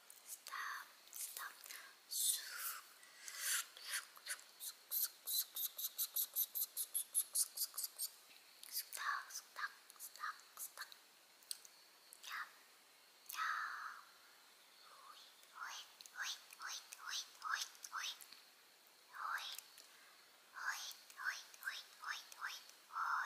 stop, stop. Stop, stop, stop, stop. Yeah, yeah. Oi, oi, oi, oi, oi, oi, oi. Oi, oi, oi, oi, oi, oi, oi.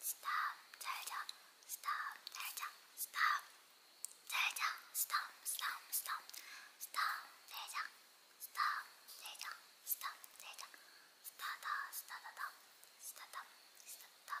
스탑 잘자 스탑 잘자 스탑 잘자 스탑 스탑 스탑 스탑 잘자 스탑 잘자 스탑 잘자 스타다 스타다다 스타다 스타다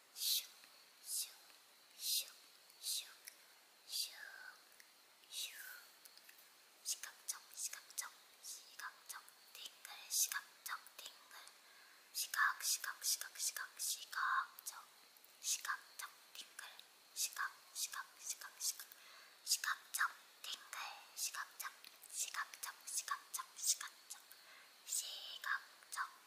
시각정 시각정 시각정 띵글 시각정 띵글 시각 시각 시각 시각 시각정 시각정 띵글 시각 시각 시각 시각 시각정 띵글 시각정 시각정 시각정 시각정 시각정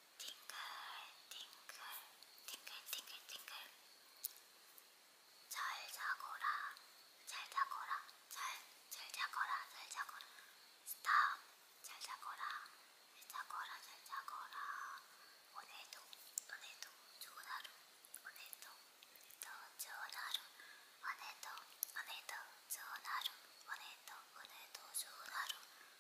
팅글팅글팅글팅글팅글 잘 자거라 잘 자거라 잘잘 자거라 잘 자거라 스탑 잘 자거라 잘 자거라 잘 자거라 오늘도 오늘도 좋은 하루 오늘도 또 좋은 하루 오늘도 오늘도 좋은 하루 오늘도 오늘도 좋은 하루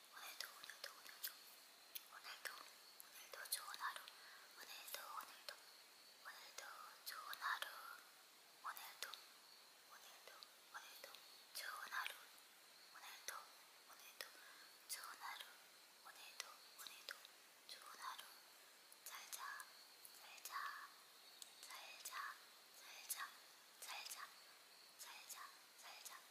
오늘도 오늘도 오늘도 오늘도 오늘도 좋은 하루 오늘도 오늘도 오늘도 좋은 하루 오늘도 오늘도 오늘도 좋은 하루 오늘도 오늘도 좋은 하루 오늘도 오늘도 좋은 하루 잘자 잘자 잘자 잘자 잘자 잘자 잘자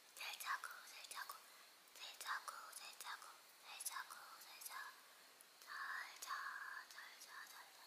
살자고 살자고 살자고 살자고 살자고 살자 잘자 잘자 잘자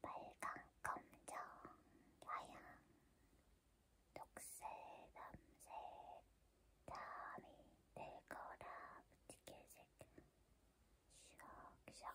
빨강, 검정, 하양, 녹색, 남색, 다음이 될 거라 부티켓색 슉슉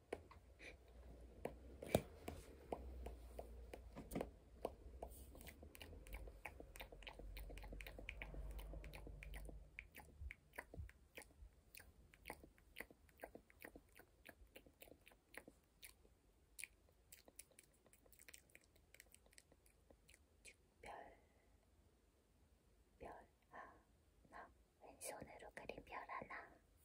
별, 별 하나 왼손으로 그린 별 하나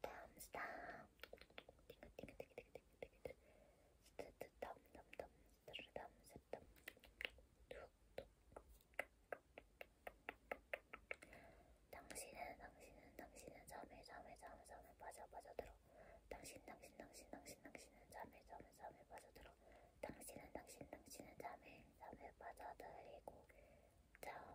다음 스탑 당신은 당신은 당신은 잠에 잠에 잠에 잠에 빠져 빠져들어 당신 당신 당신 당신 당신은 잠에 잠에 잠에 빠져들어 당신은 당신 당신은 잠에 잠에 빠져들이고 잠